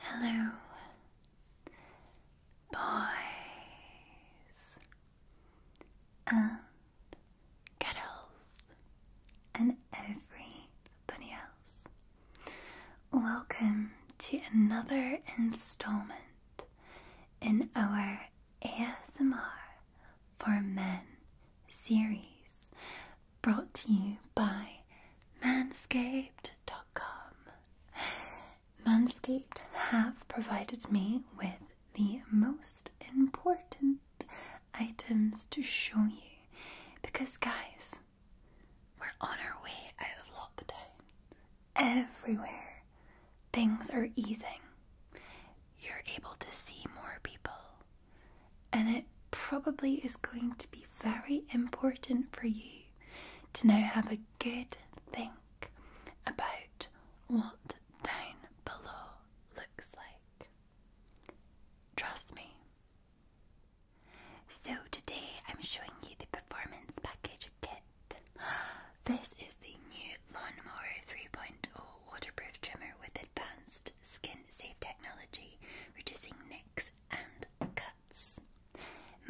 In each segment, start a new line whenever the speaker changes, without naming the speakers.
Hello, boys and girls, and everybody else. Welcome to another installment in our ASMR for Men series brought to you by manscaped.com. Manscaped have provided me with the most important items to show you because, guys, we're on our way out of lockdown. Everywhere, things are easing you're able to see more people. And it probably is going to be very important for you to now have a good think about what down below looks like. Trust me. So, today I'm showing you the performance package kit. This is the new Lawnmower 3.0 waterproof trimmer with advanced skin safe technology, reducing nicks and cuts.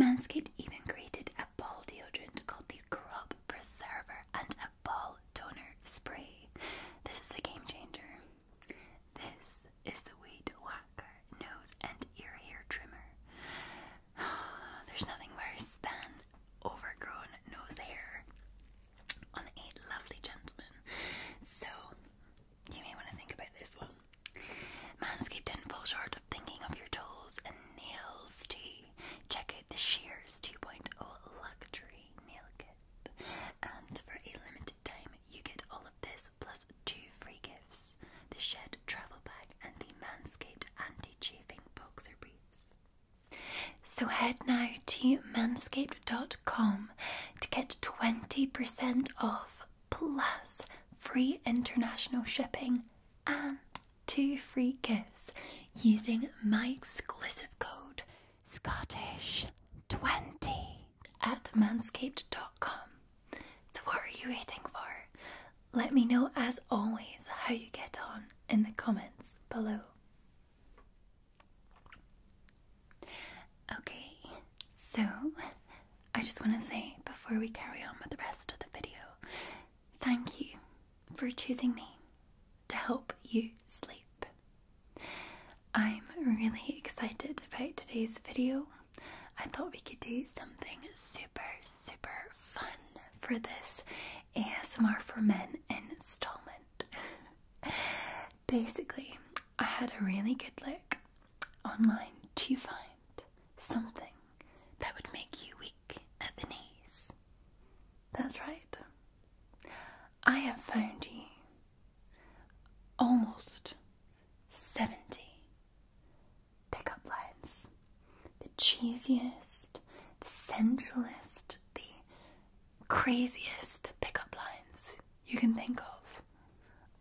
Manscaped even created a ball deodorant called the Crop Preserver and a ball toner spray. This is a game changer. This is the Weed Whacker nose and ear hair trimmer. There's nothing worse than overgrown nose hair on a lovely gentleman. So you may want to think about this one. Manscaped didn't fall short of thinking of your toes and nails too. Check out the Shears 2.0 luxury nail kit. And for a limited time, you get all of this plus two free gifts the Shed travel bag and the Manscaped anti chafing boxer briefs. So head now to manscaped.com to get 20% off plus free international shipping and two free gifts using my exclusive code Scottish20 at manscaped.com. So, what are you waiting for? Let me know as always how you get on in the comments below. Okay, so I just want to say before we carry on with the rest of the video, thank you for choosing me to help you sleep. I'm really excited about today's video. I thought we could do something super, super fun for this ASMR for Men installment. Basically, I had a really good look online to find something that would make you weak at the knees. That's right. I have found you almost 70 pickup lines. The cheesiest, the sensualist, the craziest pickup lines you can think of.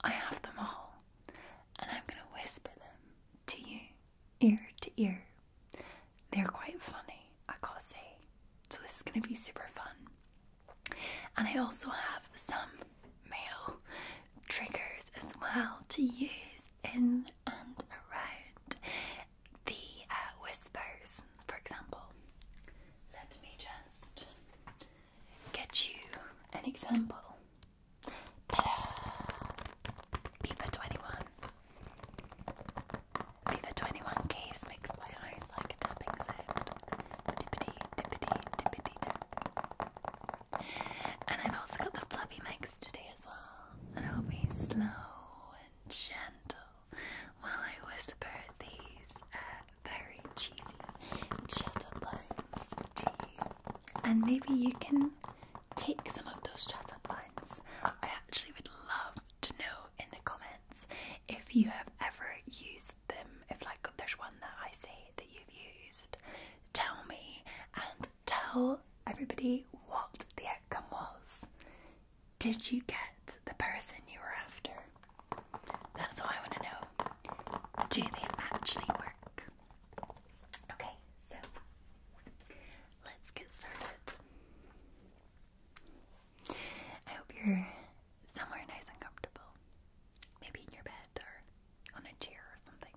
I have them all, and I'm going to whisper them to you, ear to ear. They're quite funny, I gotta say, so this is going to be super fun. And I also have some male triggers as well to use in and around the uh, whispers, for example. Let me just get you an example. Beaver 21. Beaver 21 keys makes my eyes like tapping sound. Dippity, dippity, dippity, And I've also got the fluffy mics today as well. And I'll be slow and gentle while I whisper these uh, very cheesy chatter lines And maybe you can take some of those chatter lines. I actually would love to know in the comments if you have ever used them. If, like, there's one that I say that you've used, tell me and tell everybody what the outcome was. Did you get the person you were after? That's all I want to know. Do they actually work? Okay, so let's get started. I hope you're somewhere nice and comfortable. Maybe in your bed or on a chair or something.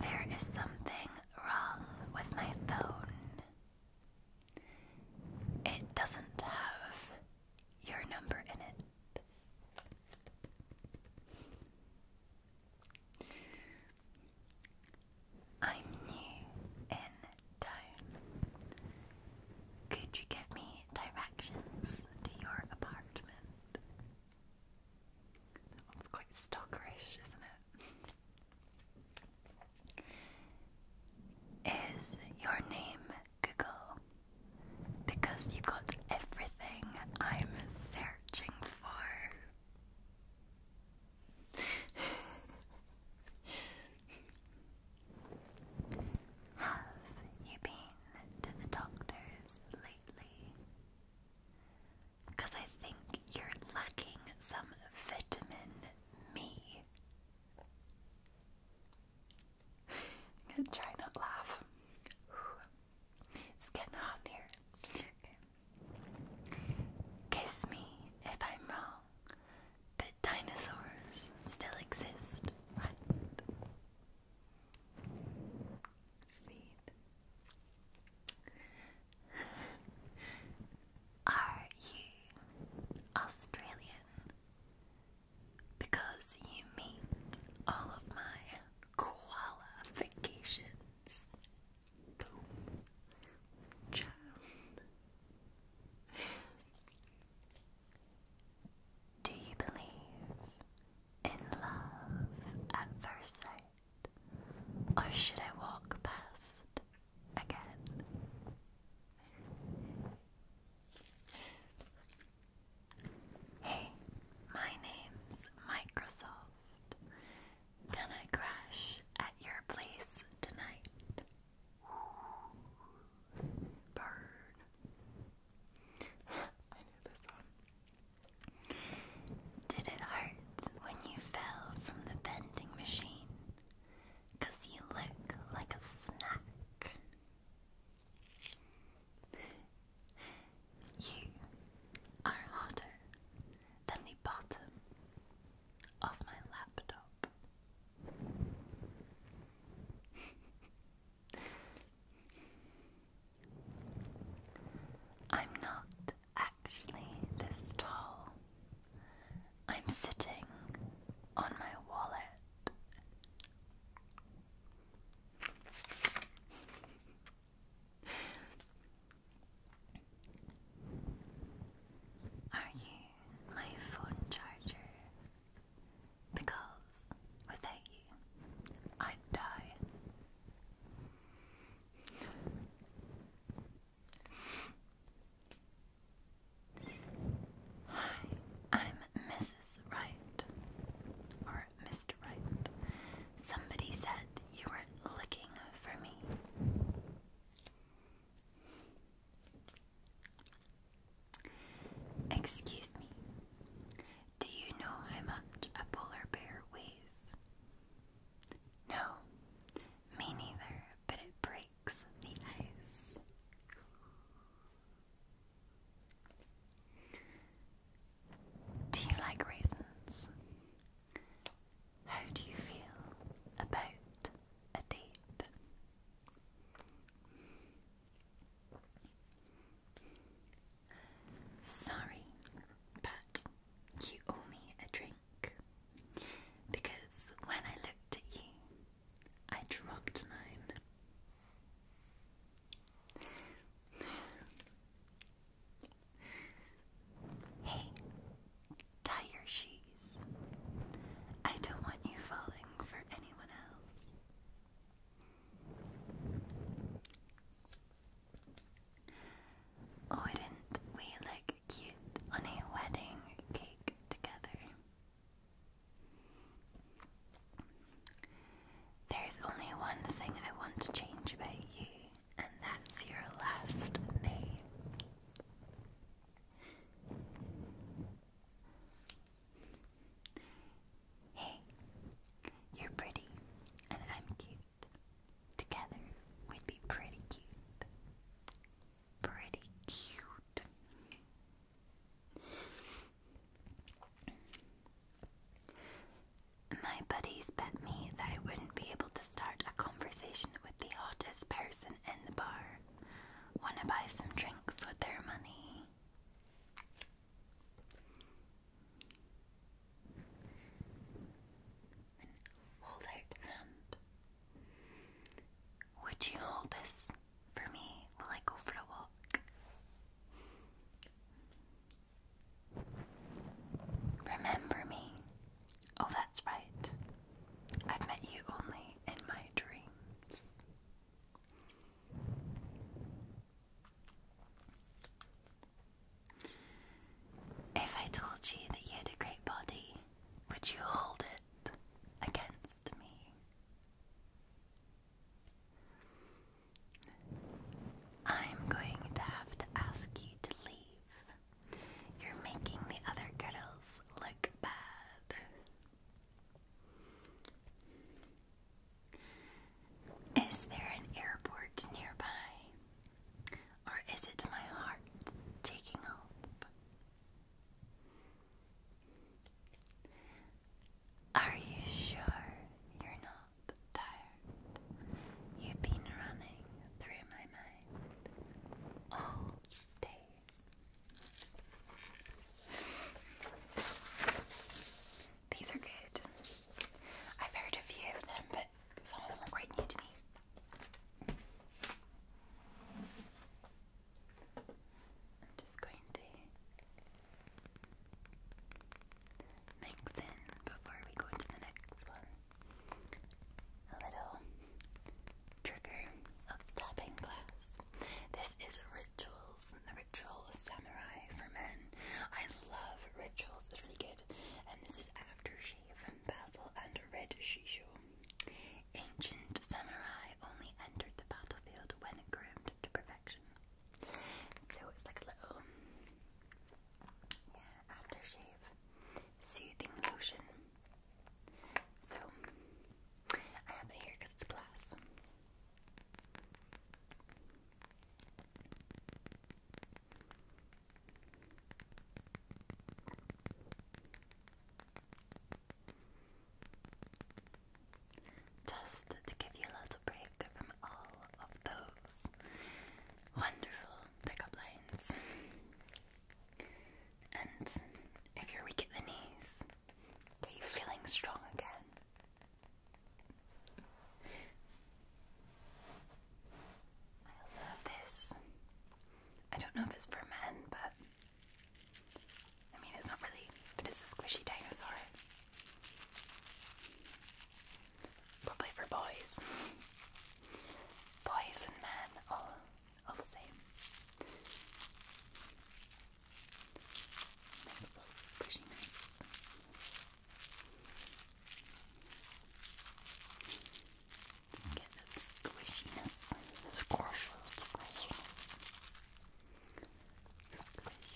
There is something wrong with my phone. It doesn't have your number in it. I'm new in town. Could you give me directions to your apartment? That one's quite stalkerish, isn't it? Is your name Google? Because you got everything I'm searching for. Have you been to the doctors lately? Because I think you're lacking some vitamin me. Try not laugh. It's getting hot here. Kiss me if I'm wrong, but dinosaurs still exist, right? Are you Australian? Because you meet all of my qualifications. Child. Do you believe in love at first sight? Or oh, should I walk past again? Hey, my name's Microsoft. Can I crash at your place tonight? Bird. I knew this one. Did it hurt when you fell from the vending machine, you look like a snack. You are hotter than the bottom of my laptop. I'm not actually this tall. I'm sitting on my wallet. Are you my phone charger? Because without you, I'd die. Hi, I'm Mrs. Wright. Or Mr. Wright. Somebody said you were looking for me. Excuse me. Do you know how much a polar bear weighs? No, me neither, but it breaks the ice. Do you like raisins? How do you feel about a date? Sorry, but you owe me a drink. Because when I looked at you, I dropped mine. hey, tie your shoes. I don't want you falling for anyone else. Oh, didn't we look cute on a wedding cake together. There's only one thing I want to change about you, and that's your last name. Hey, you're pretty, and I'm cute. Together, would be pretty cute. Pretty cute. My buddies bet me that I wouldn't be able to start a conversation with the hottest person in the bar. Wanna buy some drinks with their money? hold out hand. Would you hold this for me while I go for a walk? Remember me. Oh, that's right. I've met you only in my dreams. If I told you that you had a great body, would you hold it against me? I'm going to have to ask you to leave. You're making the other girls look bad. Is there an airport nearby? Or is it my heart taking off? Are you sure you're not tired? You've been running through my mind all day. These are good. I've heard a few of them, but but some of them are quite new to me. I'm just going to mix in before we go into the next one a little trigger of tapping glass. This is rituals, the ritual of samurai for men. I love rituals, it's really good. And this is aftershave and basil and red shisho. Ancient samurai only entered the battlefield when groomed to perfection. So it's like a little yeah, aftershave soothing lotion. So I have it here because it's glass. Just to give you a little break from all of those wonderful pickup lines. And if you're weak at the knees, are you feeling strong again? I also have this. I don't know if it's for men, but I mean, it's not really, but it's a squishy dinosaur. Probably for boys. boys and men, all, all the same. It's also squishy nice. Get that squishiness. Squish, squishiness. Squish, squishiness. Squish.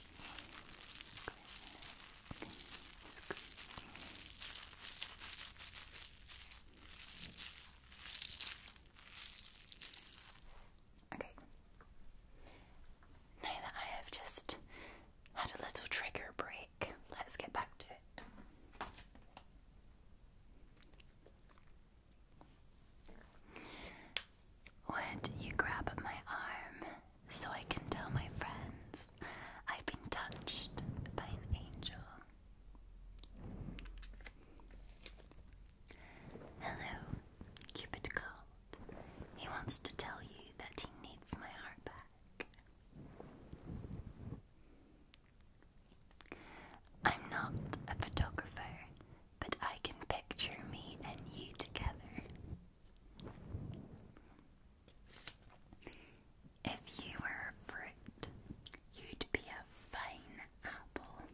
Okay. Now that I have just had a little trigger break, Let's get back to it. Would you grab my arm so I can tell my friends I've been touched by an angel? Hello, Cupid called. He wants to tell you that he needs my heart back. I'm not a photographer, but I can picture me and you together. If you were a fruit, you'd be a fine apple.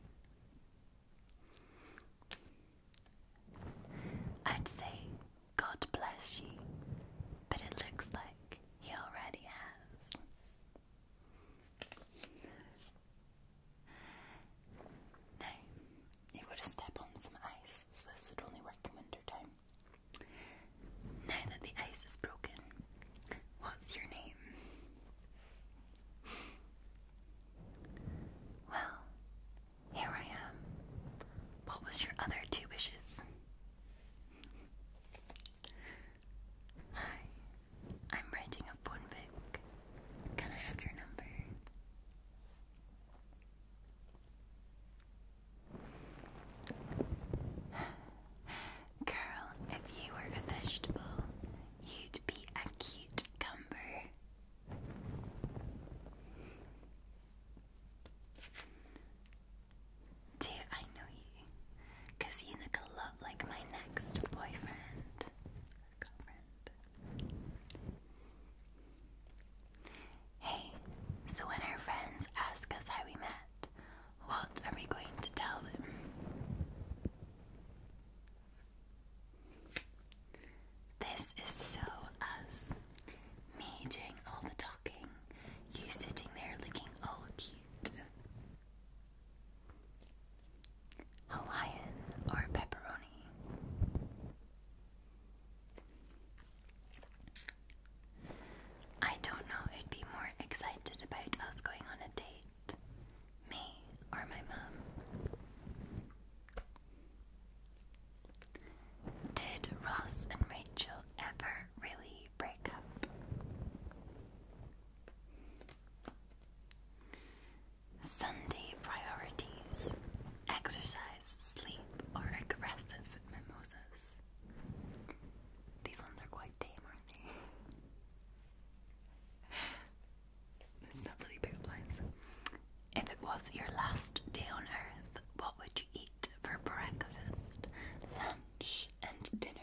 I'd say God bless you, but it looks like he already has. Now, you've got to step on some ice, so this would only work in winter time. Now that the ice is broken, what's your name? Well, here I am. What was your other two wishes? Hi, I'm renting a phone book. Can I have your number? Girl, if you were a vegetable, you'd be a cute cumber. Do I know you? Because you look a lot like my next boyfriend. Hey, so when our friends ask us how we met, what are we going to tell them? This is so us. Me doing all the talking you sitting there looking all cute. Hawaiian or pepperoni? I don't know who'd be more excited about us going on a date. Me or my mum? Did Ross and Rachel ever really break up? Sunday priorities exercise, sleep, or aggressive mimosas. These ones are quite tame, aren't they? it's not really big If it was your last day on earth, what would you eat for breakfast, lunch, and dinner.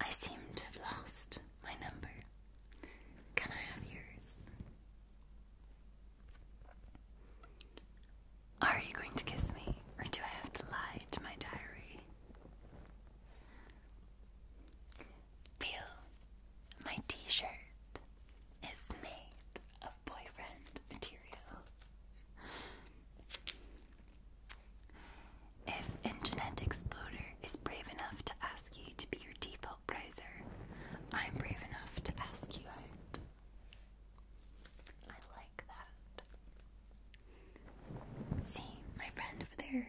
I seem to have lost my number. Can I have yours? Are you going to kiss me, or do I have to lie to my diary? Feel my t-shirt is made of boyfriend material. If Internet Exploder is brave enough to ask you to be your default browser, I'm brave enough to ask you out. I like that. See, my friend over there,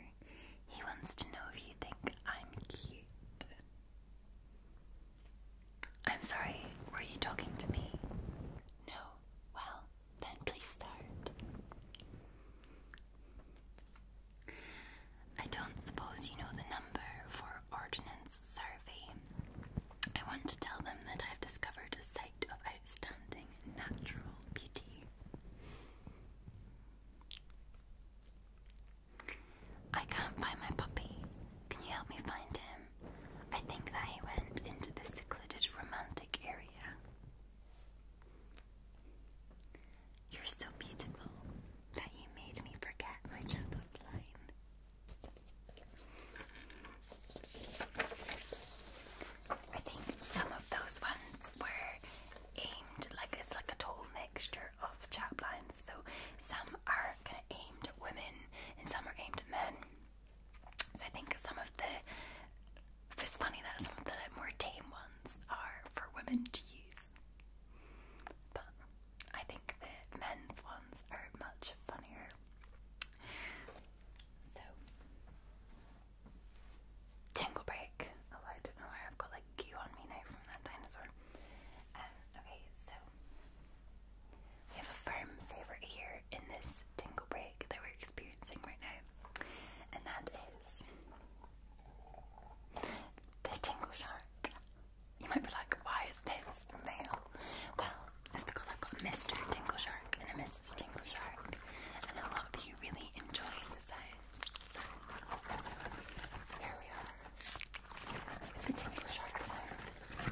he wants to know if you think I'm cute. I'm sorry, were you talking to me? No. Well, then please start. I don't suppose you know the number for Ordnance Survey. I want to tell them that I've discovered a site of outstanding natural beauty. I can't find my puppy. Can you help me find him? I think that he went into the secluded romantic area. You're so beautiful that you made me forget my childhood I think some of those ones were aimed like it's like a total mixture of chap lines. So some are kind of aimed at women and some are aimed at men. So I think some of the it's funny that some of the more tame ones are for women to use. But I think the men's ones are much funnier. So Tingle Break. Oh I don't know I've got we have a firm favourite here in this tingle break that we're experiencing right now, and that is the tingle shark. You might be like, why is this male? Well, it's because I've got Mr. Tingle Shark and a Mrs. Tingle Shark, and a lot of you really enjoy the science. Here we are. The tinkle shark's house.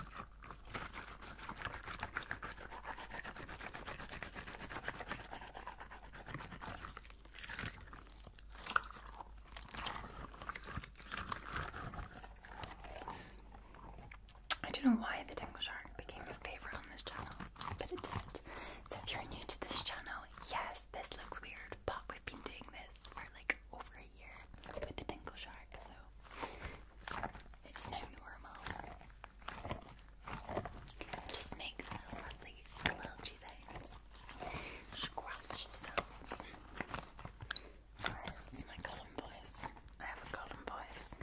I don't know why the Dingle Shark became a favorite on this channel, but it did. So if you're new to this channel, yes, this looks weird, but we've been doing this for like over a year with the Dingle Shark, so it's now normal. just makes lovely squelchy sounds. it's my column voice. I have a column voice.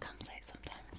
Comes out sometimes.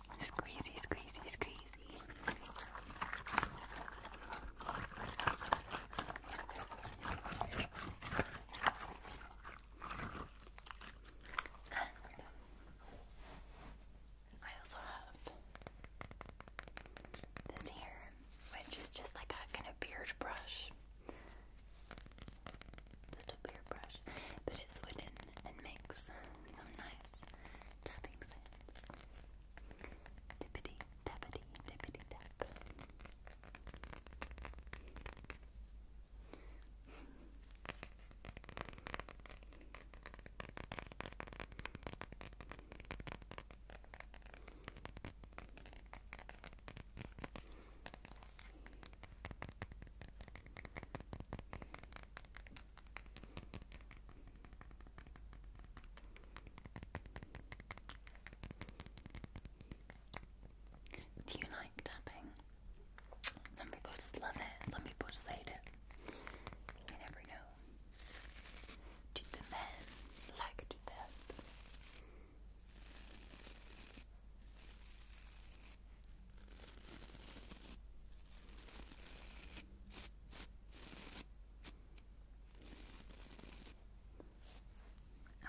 Squeezy, squeezy, squeezy. And I also have this here, which is just like a kind of beard brush such a but it's wooden and makes some nice tapping sounds. Tippity tappity tippity tap. Do you like tapping? Some people just love it, some people just hate it. You never know. Do the men like to tap?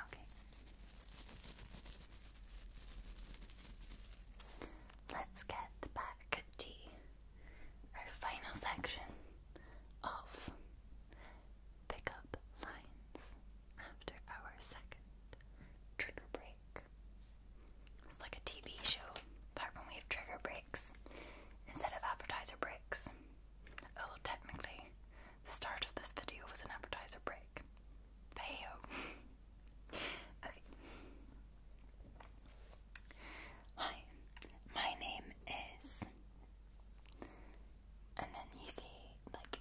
Okay. Let's get back to our final section of pickup lines after our second trigger break. It's like a TV show, but when we have trigger breaks instead of advertiser breaks. Although technically, the start of this video was an advertiser break. But Hi, my name is. And then you say, like,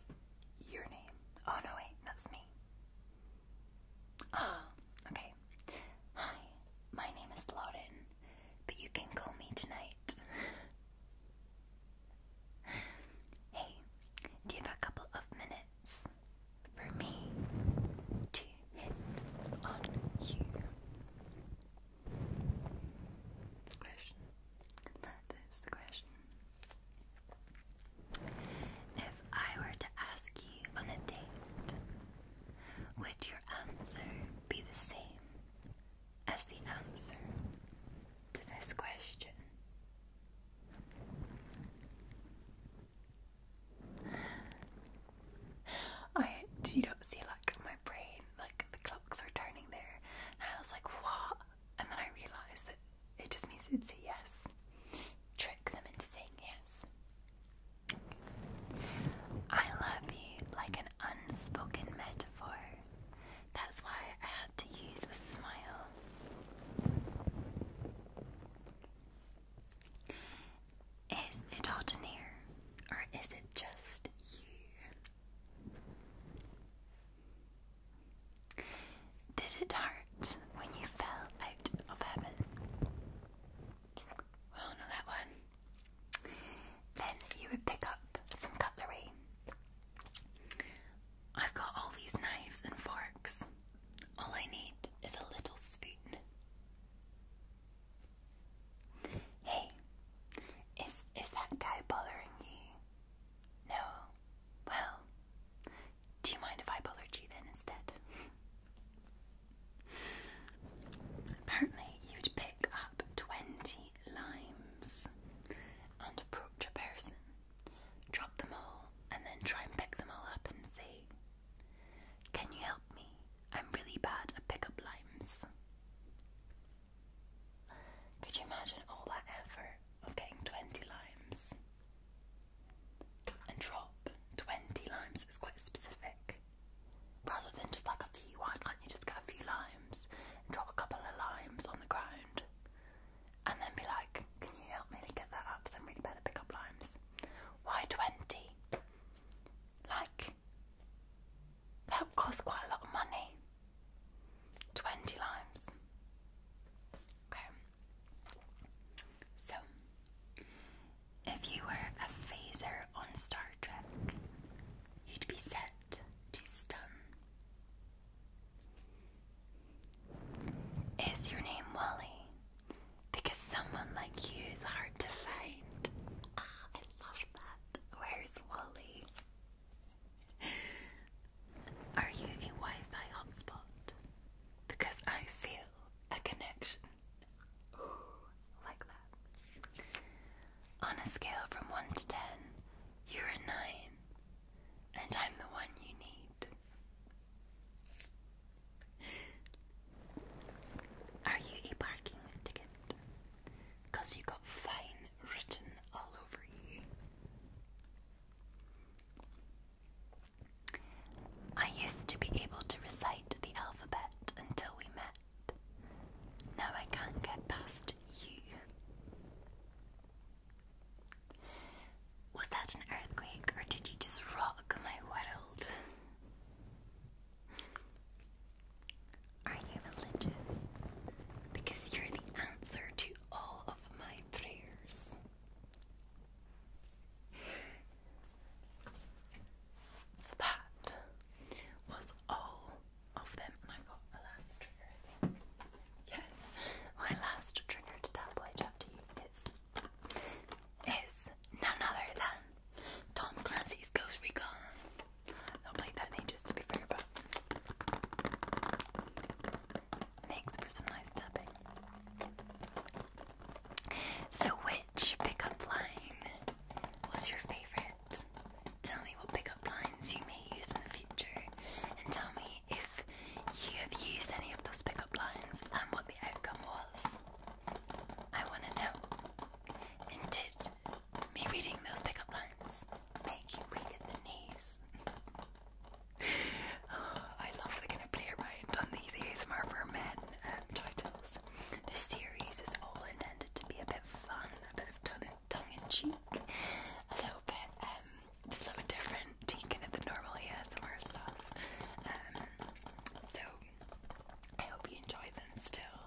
your name. Oh no, wait, that's me. Ah, okay. Hi, my name is Lauren, but you can call me tonight. hey, do you have a couple of minutes for me to hit on you? That's question. That is the question. If I were to ask you on a date, would your answer be the same as the answer to this question? I do not see like my brain, like the clocks are turning there, and I was like, what? And then I realised that it just means it's a yes. Trick them into saying yes. I love you like an unspoken metaphor. That's why I had to use a smile. Is it hot in here, or is it just you? Did it hurt when you fell out of heaven? Well, not that one. Then you would pick up some cutlery. I've got all these knives and forks. All I need is a little spoon. Hey, is is that guy bothering you? No. Well, do you mind if I I G then instead? Apparently, you'd pick up 20 limes and approach a person, drop them all, and then try and pick them all up and say, Can you help me? I'm really bad at pick up limes. Could you imagine all that effort of getting 20 limes? and drop 20 limes. It's quite specific. Rather than just like a few, why can't you just get a few limes drop a couple of limes on the ground and then be like, can you help me to get that up? Because I'm really bad at pick up limes. Why 20? Like, that would cost quite a lot of money. 20 limes. Okay, so, if you were a phaser on Star Trek, you'd be set to stun. Is your name Wally? Because someone like you is hard to find. Ah, I love that. Where's Wally? Are you a Wi Fi hotspot? Because I feel a connection. like that. On a scale from 1 to 10, you're a 9, and I'm the one you need. Are you a parking ticket? you got fine written all over you. I used to be able to recite the alphabet until we met. Now I can't get past you. Was that an earthquake or did you just rock my world? Are you religious? Because you're the answer to all of my prayers that was all of them, and I got a last trigger. I my last trigger to tell by chapter you is is none other than Tom Clancy's Ghost Recon. I played that in ages to be fair, but Makes for some nice tapping. So, which pickup line was your favorite? Tell me what pickup lines you may use in the future, and tell me if you have used any of those pickup lines and what the outcome was. I want to know. And did me reading those pickup lines make you weak at the knees? I love the kind of play around on these ASMR for men um, titles. This series is all intended to be a bit fun, a bit of tongue in cheek, a little bit um, just a little bit different, taking it the normal ASMR stuff. Um, so I hope you enjoy them still,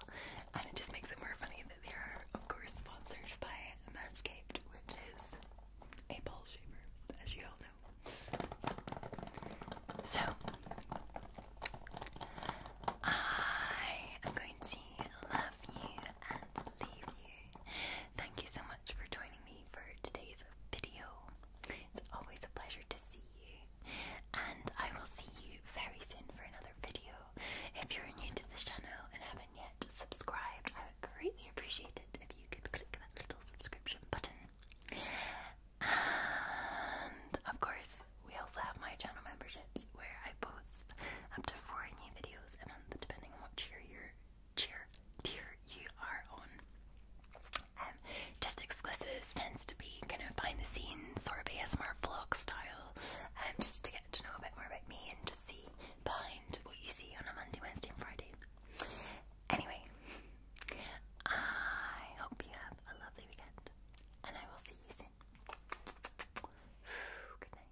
and it just makes it more funny that they are, of course, sponsored by Manscaped, which is a ball shaver, as you all know. So, I am going to love you and leave you. Thank you so much for joining me for today's video. It's always a pleasure to see you, and I will see you very soon for another video. If you're new to this channel and haven't yet subscribed, greatly appreciate it if you could click that little subscription button. And of course, we also have my channel memberships where I post up to four new videos a month, depending on what cheer you're tier you are on. Um, just exclusives tends to be kind of behind the scenes sort of ASMR vlog style, and um, just to get to know a bit more about me and just see behind what you see on a Monday, Wednesday, and Friday. Anyway, I hope you have a lovely weekend, and I will see you soon. Good night.